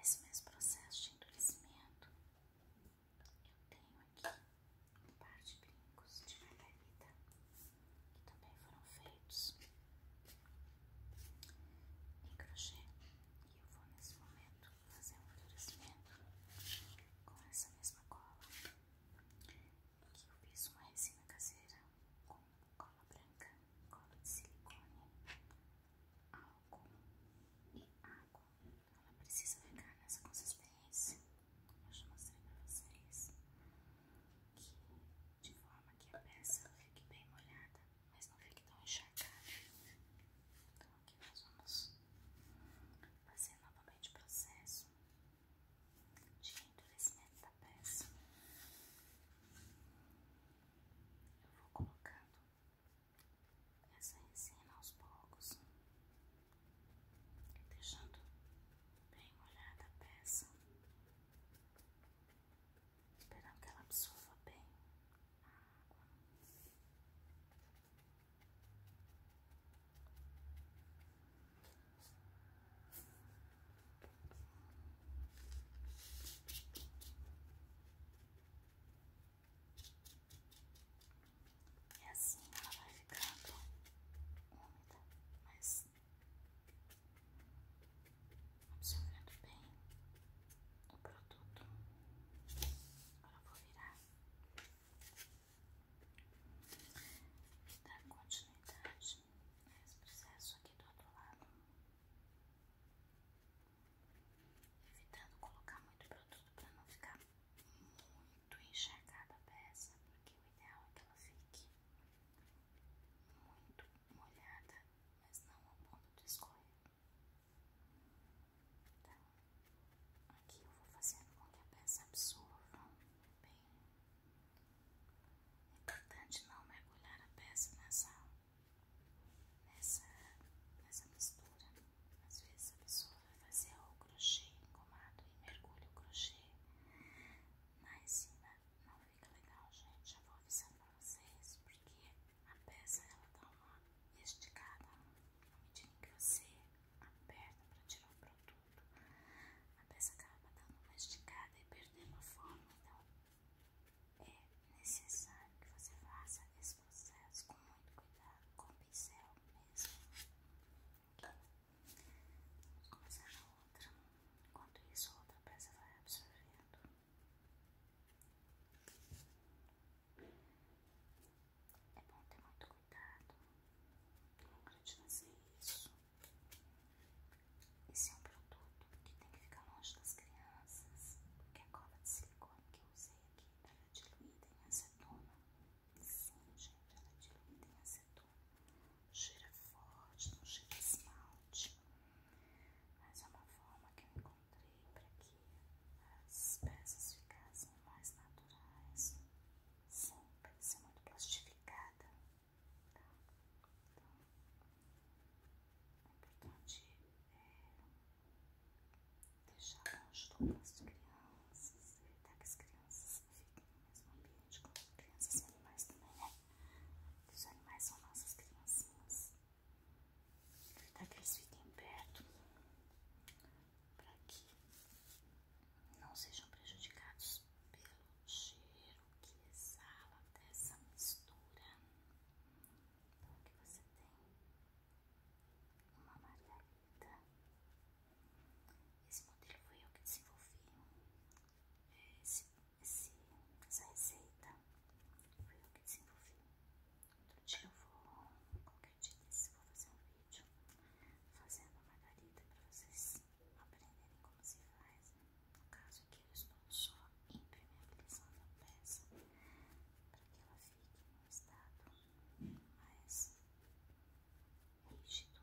Esse mesmo processo de endurecimento, eu tenho aqui um par de brincos de margarida que também foram feitos em crochê. E eu vou nesse momento fazer um endurecimento com essa mesma cola que eu fiz uma resina caseira com cola branca, cola de silicone, álcool e água. Ela precisa ficar nessa consciência. Eu já mostrei pra vocês que de forma que a peça fique bem molhada, mas não fique tão encharcada. Então aqui nós vamos fazer novamente o processo de endurecimento da peça. Então, eu vou colocando essa resina aos poucos, deixando bem molhada a peça, esperando que ela absorva bem a água. E assim ela vai ficando úmida, mas absorvendo bem o produto. Agora vou virar dar continuidade esse processo aqui do outro lado, evitando colocar muito produto para não ficar muito encharcada a peça, porque o ideal é que ela fique muito molhada, mas não ao ponto de escorrer. Então, aqui eu vou fazendo com que a peça absorva bem. É Importante não mergulhar a peça nessa, nessa, nessa mistura. Às vezes a pessoa vai fazer o crochê engomado e mergulha o crochê na enzima. Não fica legal, gente. Já vou avisando pra vocês, porque a peça ela dá esticada no momento que você aperta para tirar o produto a peça acaba dando uma esticada e perdendo a forma, então é necessário que você faça esse processo com muito cuidado, com o pincel mesmo. Vamos começar na outra, enquanto isso a outra peça vai absorvendo. É bom ter muito cuidado não hora de isso. Esse é um produto que tem que ficar longe das crianças, porque a cola de silicone que eu usei aqui ela é diluída em acetona. Sim, gente, ela é diluída em acetona. Cheira forte, não cheira esmalte. Mas é uma forma que eu encontrei para que as peças ficassem mais naturais. Sim, para ser muito plastificada. Então, é importante é, deixar longe do alcance de crianças, evitar que as crianças fiquem no mesmo ambiente com crianças e animais também, né? Os animais são nossas criancinhas. Evitar que eles fiquem perto para que não sejam prejudicados pelo cheiro que exala dessa mistura. Então aqui você tem uma margarida. Esse modelo foi eu que desenvolvi. essa receita foi eu que desenvolvi. Outro dia eu vou, qualquer dia vou fazer um vídeo fazendo a margarida para vocês aprenderem como se faz. No caso aqui, eu estou só impermeabilizando a peça para que ela fique num estado mais rígido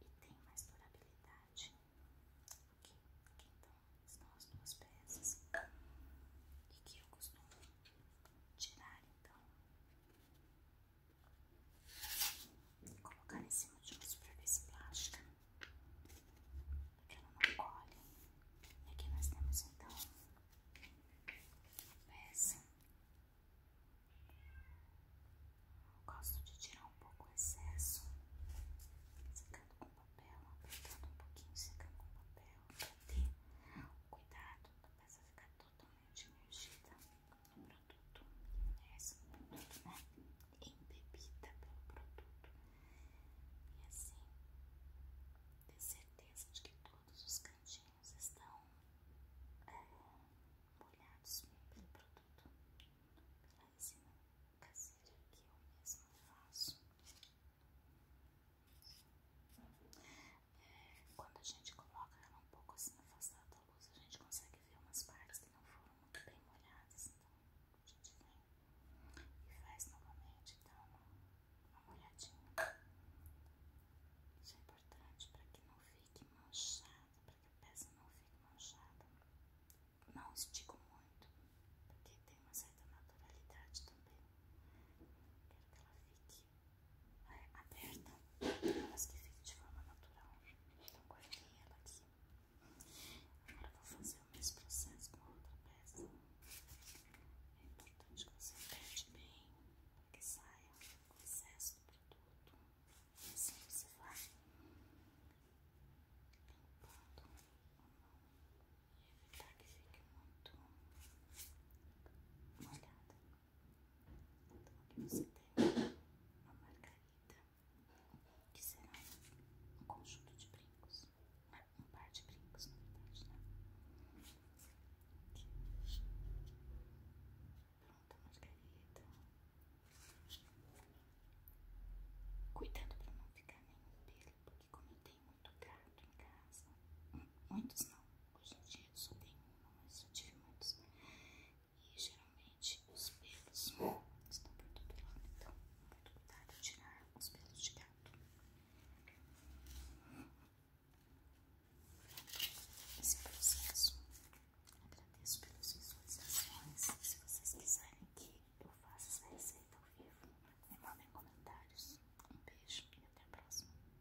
e tenha mais durabilidade. Ok? Aqui então estão as duas peças e que eu costumo tirar então Vou colocar em cima de uma superfície plástica, porque ela não colhe. E aqui nós temos então a peça. Eu gosto de tirar um pouco o excesso, secando com papel, apertando um pouquinho, secando com papel, para ter cuidado cuidado a peça ficar totalmente imergida. É o produto, essa é produto, né? Embebida pelo produto. E assim, ter certeza de que todos os cantinhos estão é, molhados pelo produto, pela resina caseira aqui eu mesmo faço. É, quando a gente coloca ela um pouco assim afastada da luz, a gente consegue ver umas partes que não foram muito bem molhadas. Então a gente vem e faz novamente, dá uma, uma molhadinha. Isso é importante para que não fique manchada, para que a peça não fique manchada. Não estico muito, porque tem uma certa naturalidade também. Quero que ela fique é, aberta, mas que fique de forma natural. Então, guardei ela aqui. Agora, vou fazer o mesmo processo com a outra peça. É importante que você aperte bem para que saia o excesso do produto. E assim você vai limpando e evitar que fique muito molhada. Então aqui você tem uma margarida, que será um conjunto de brincos, um par de brincos na verdade, né? Aqui. Pronto, a margarida. Cuidando para não ficar nenhum pêlo porque comentei muito gato em casa, muitos não, Hoje em dia só tenho uma, mas já tive muitos. E geralmente os pelos estão por todo lado, então muito cuidado em tirar os pelos de gato. Esse processo. Agradeço pelas visualizações. Se vocês quiserem que eu faça essa receita ao vivo, me mandem comentários. Um beijo e até a próxima.